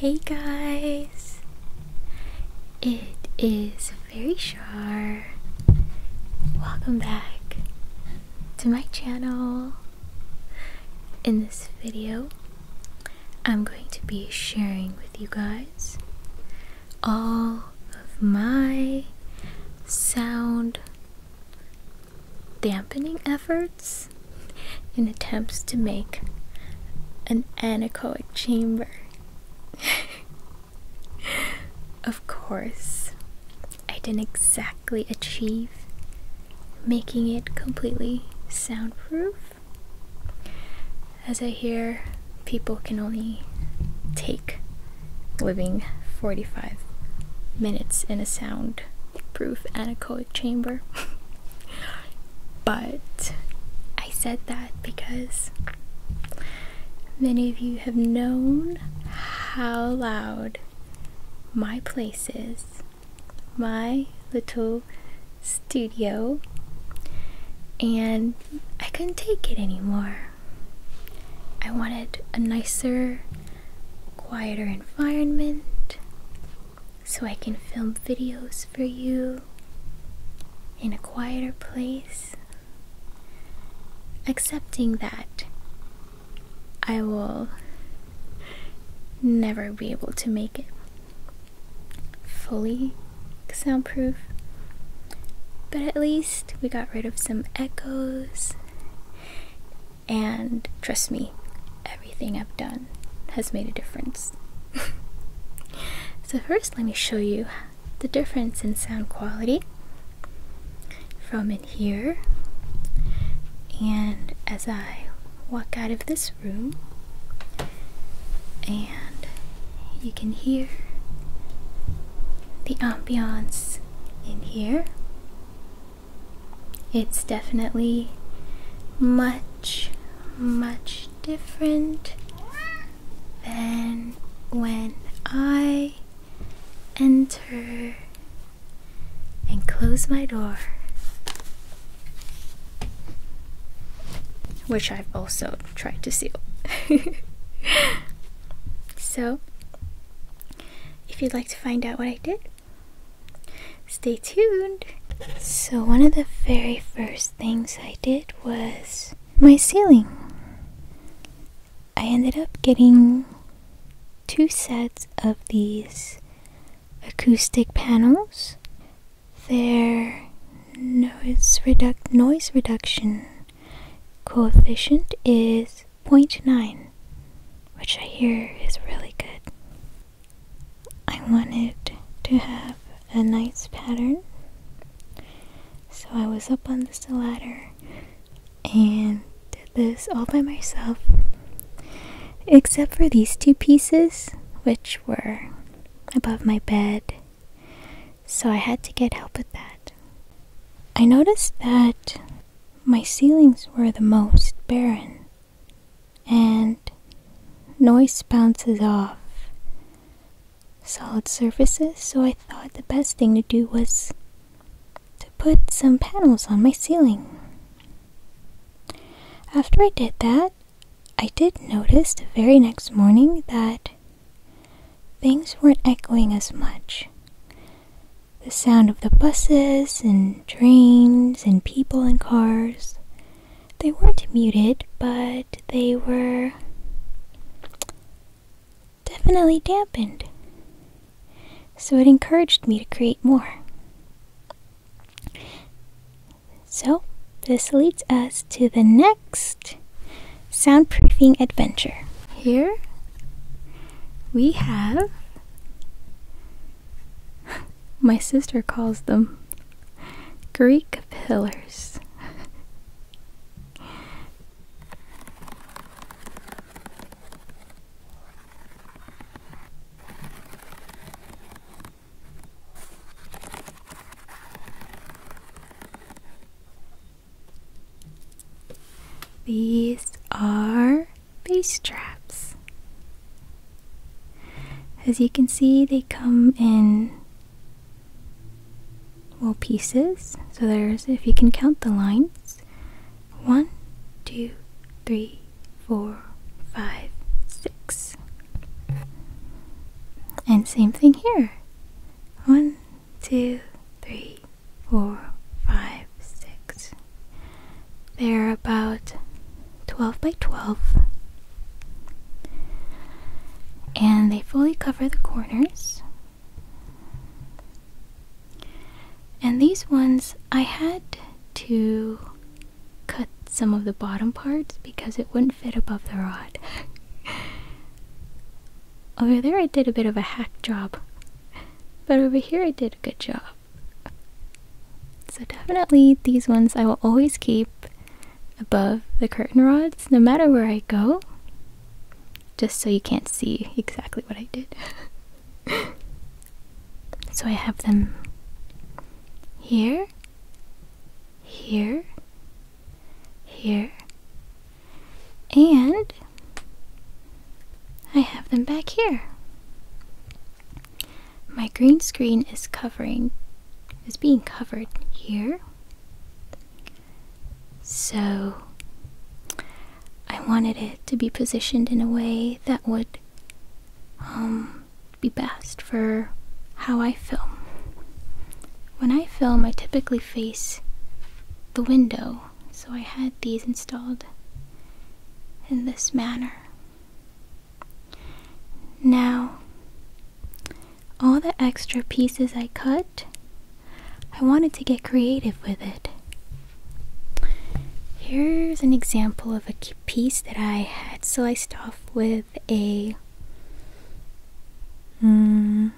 Hey guys! It is very Shar. Welcome back to my channel. In this video, I'm going to be sharing with you guys all of my sound dampening efforts and attempts to make an anechoic chamber. of course, I didn't exactly achieve making it completely soundproof. As I hear, people can only take living 45 minutes in a soundproof anechoic chamber. but I said that because many of you have known how loud my place is, my little studio and I couldn't take it anymore. I wanted a nicer, quieter environment so I can film videos for you in a quieter place. Accepting that I will never be able to make it fully soundproof, but at least we got rid of some echoes. And trust me, everything I've done has made a difference. so, first, let me show you the difference in sound quality from in here. And as I walk out of this room, you can hear the ambiance in here. It's definitely much, much different than when I enter and close my door, which I've also try to seal. so, if you'd like to find out what I did, stay tuned. So, one of the very first things I did was my ceiling. I ended up getting two sets of these acoustic panels their noise, reduction coefficient is 0.9, which I hear is really good. I wanted to have a nice pattern, so I was up on the ladder and did this all by myself, except for these two pieces, which were above my bed so I had to get help with that. I noticed that my ceilings were the most barren and noise bounces off solid surfaces, so I thought the best thing to do was to put some panels on my ceiling. After I did that, I did notice the very next morning that things weren't echoing as much. The sound of the buses and trains and people and cars, they weren't muted, but they were definitely dampened. So it encouraged me to create more. So, this leads us to the next soundproofing adventure. Here we have. My sister calls them Greek pillars. These are base traps. As you can see, they come in well pieces. So there's, if you can count the lines, one, two, three, four, five, six. And same thing here. One, two, three, four, five, six. They're about 12 by 12. And they fully cover the corners. And these ones I had to cut some of the bottom parts because it wouldn't fit above the rod. over there I did a bit of a hack job, but over here I did a good job. So definitely these ones I will always keep above the curtain rods no matter where I go just so you can't see exactly what I did. so I have them here here, here, and I have them back here. My green screen is covering, is being covered here. So I wanted it to be positioned in a way that would um, be best for how I film. When I film, I typically face the window, so I had these installed in this manner. Now, all the extra pieces I cut, I wanted to get creative with it. Here's an example of a piece that I had sliced off with a Hmm.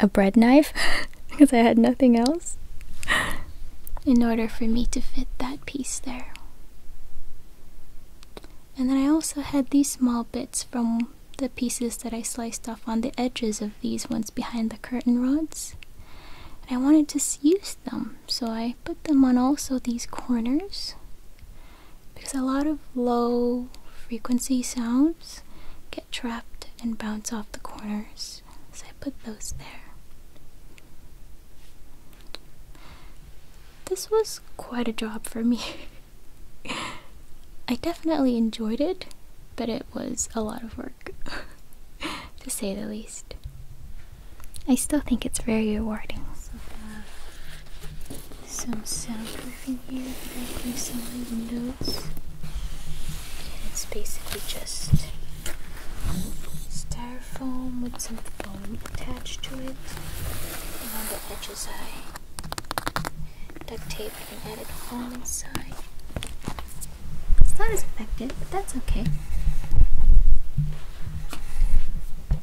A bread knife? because I had nothing else. In order for me to fit that piece there. And then I also had these small bits from the pieces that I sliced off on the edges of these ones behind the curtain rods. And I wanted to use them so I put them on also these corners because a lot of low frequency sounds get trapped and bounce off the corners, so I put those there. This was quite a job for me. I definitely enjoyed it, but it was a lot of work, to say the least. I still think it's very rewarding. some soundproofing here that I placed on my windows. it's basically just styrofoam with some foam attached to it. And on the edges I duct tape and it foam inside. It's not as effective, but that's okay.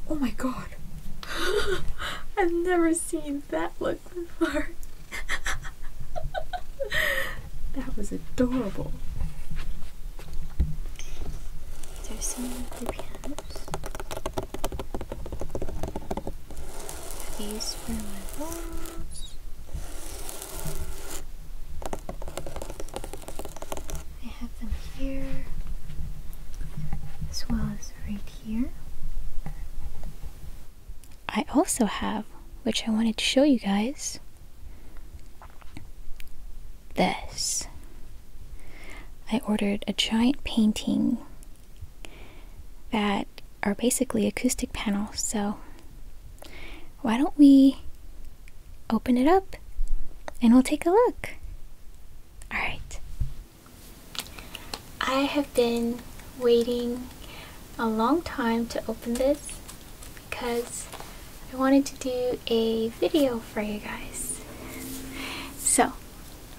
Oh my god. I've never seen that look before. that was adorable. These for my walls. I have them here as well as right here. I also have, which I wanted to show you guys, this. I ordered a giant painting that are basically acoustic panels, so why don't we open it up and we'll take a look. All right. I have been waiting a long time to open this because I wanted to do a video for you guys. So,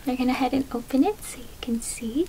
I'm gonna head and open it so you can see.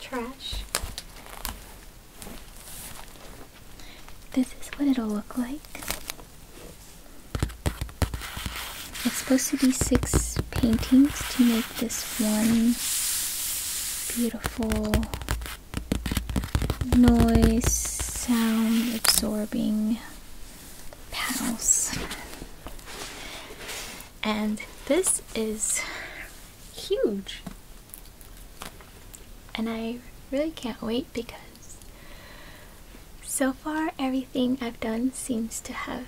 trash. This is what it'll look like. It's supposed to be six paintings to make this one beautiful noise sound absorbing panels and this is huge and I really can't wait because so far everything I've done seems to have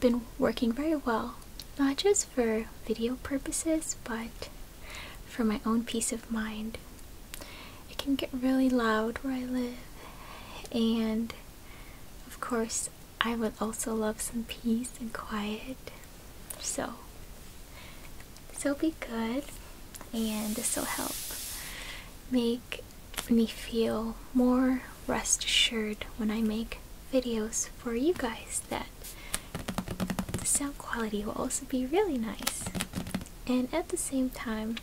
been working very well not just for video purposes but for my own peace of mind it can get really loud where I live and of course, I would also love some peace and quiet. So, so be good, and this will help make me feel more rest assured when I make videos for you guys that the sound quality will also be really nice. And at the same time,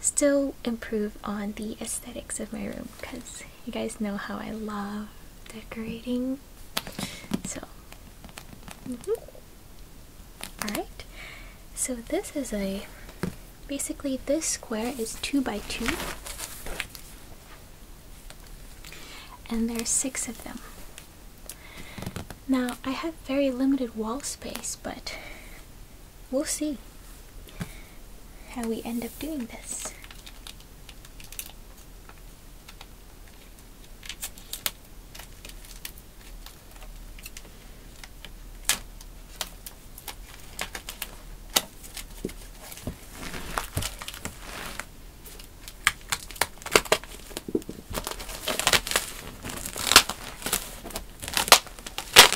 still improve on the aesthetics of my room because you guys know how I love decorating. So, mm-hmm. alright. So this is a, basically this square is two by two. And there's six of them. Now, I have very limited wall space, but we'll see how we end up doing this.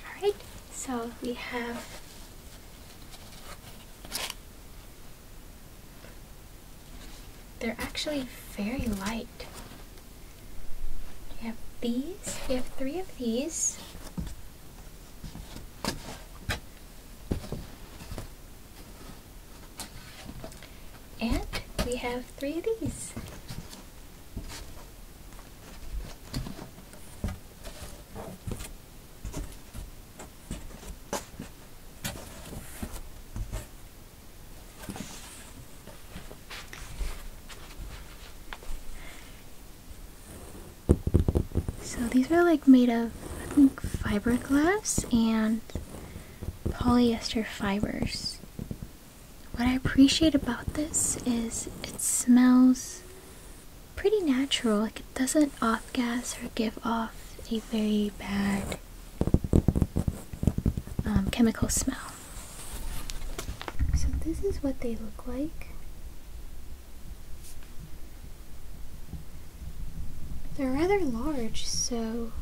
Alright, so we have they're actually very light. We have these, we have three of these. And we have three of these. So these are like made of, I think, fiberglass and polyester fibers. What I appreciate about this is it smells pretty natural. Like it doesn't off gas or give off a very bad um, chemical smell. So this is what they look like. They're rather large, so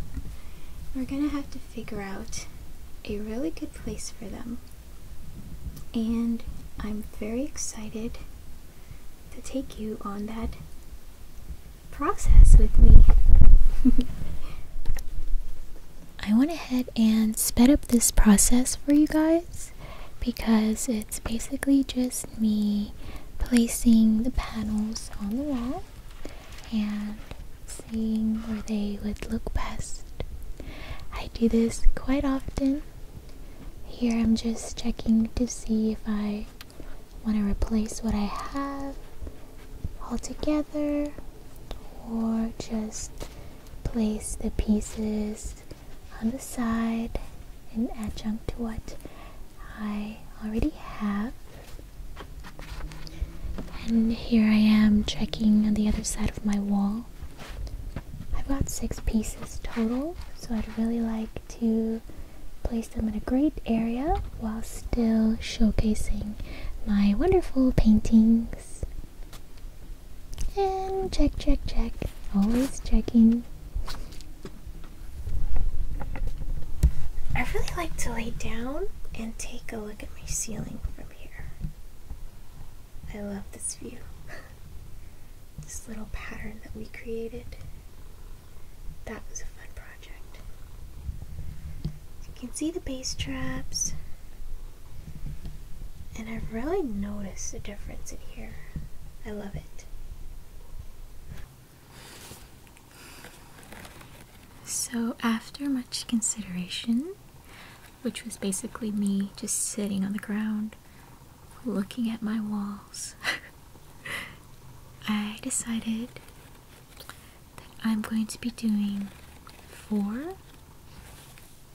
we're gonna have to figure out a really good place for them. And I'm very excited to take you on that process with me. I went ahead and sped up this process for you guys because it's basically just me placing the panels on the wall and seeing where they would look best. I do this quite often. Here I'm just checking to see if I want to replace what I have altogether or just place the pieces on the side and adjunct to what I already have. And here I am checking on the other side of my wall. I've got six pieces total, so I'd really like to place them in a great area while still showcasing my wonderful paintings. And check, check, check. Always checking. I really like to lay down and take a look look at my ceiling from here. I love this view. this little pattern that we created. That was a fun project. You can see the base traps. And I've really noticed the difference in here. I love it. So, after much consideration, which was basically me just sitting on the ground looking at my walls, I decided that I'm going to be doing four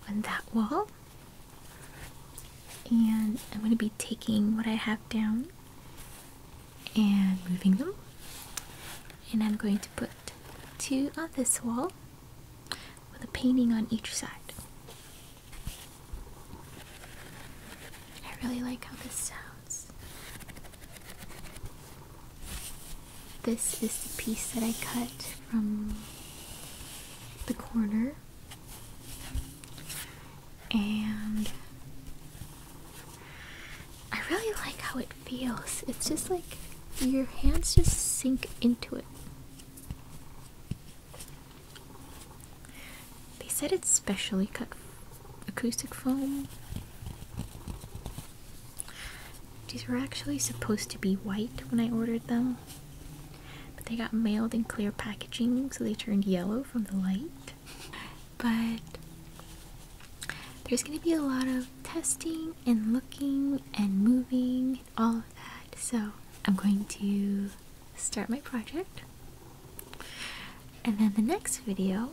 on that wall. And I'm going to be taking what I have down and moving them and I'm going to put two on this wall with a painting on each side. I really like how this sounds. This is the piece that I cut from the corner and I really like how it feels. It's just like your hands just sink into it. They said it's specially cut acoustic foam. These were actually supposed to be white when I ordered them, but they got mailed in clear packaging, so they turned yellow from the light but there's going to be a lot of testing and looking and moving, all of that. So I'm going to start my project. And then the next video,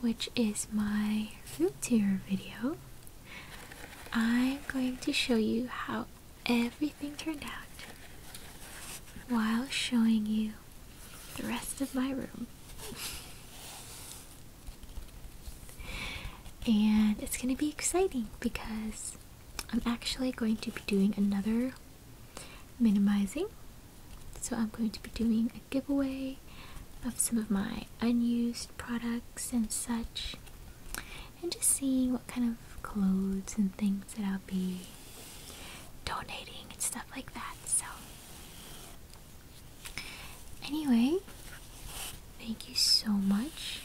which is my root tour video, I'm going to show you how everything turned out while showing you the rest of my room. and it's going to be exciting because I'm actually going to be doing another minimizing. So I'm going to be doing a giveaway of some of my unused products and such. And just seeing what kind of clothes and things that I'll be donating and stuff like that. So Anyway, thank you so much.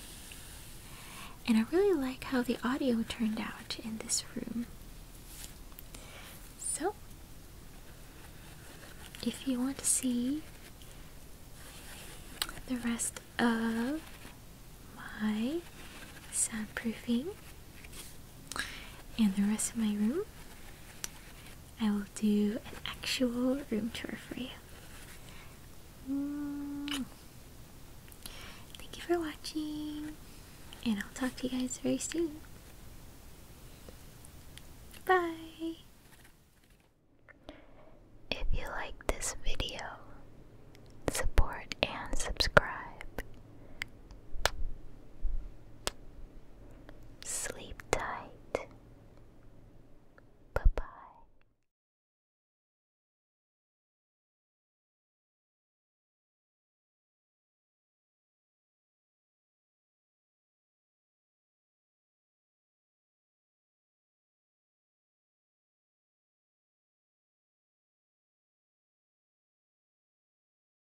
And I really like how the audio turned out in this room. So, if you want to see the rest of my soundproofing, and the rest of my room, I will do an actual room tour for you. Mm. Thank you for watching, and I'll talk to you guys very soon. Bye! If you like this video, support and subscribe. Sleep tight. Bye bye.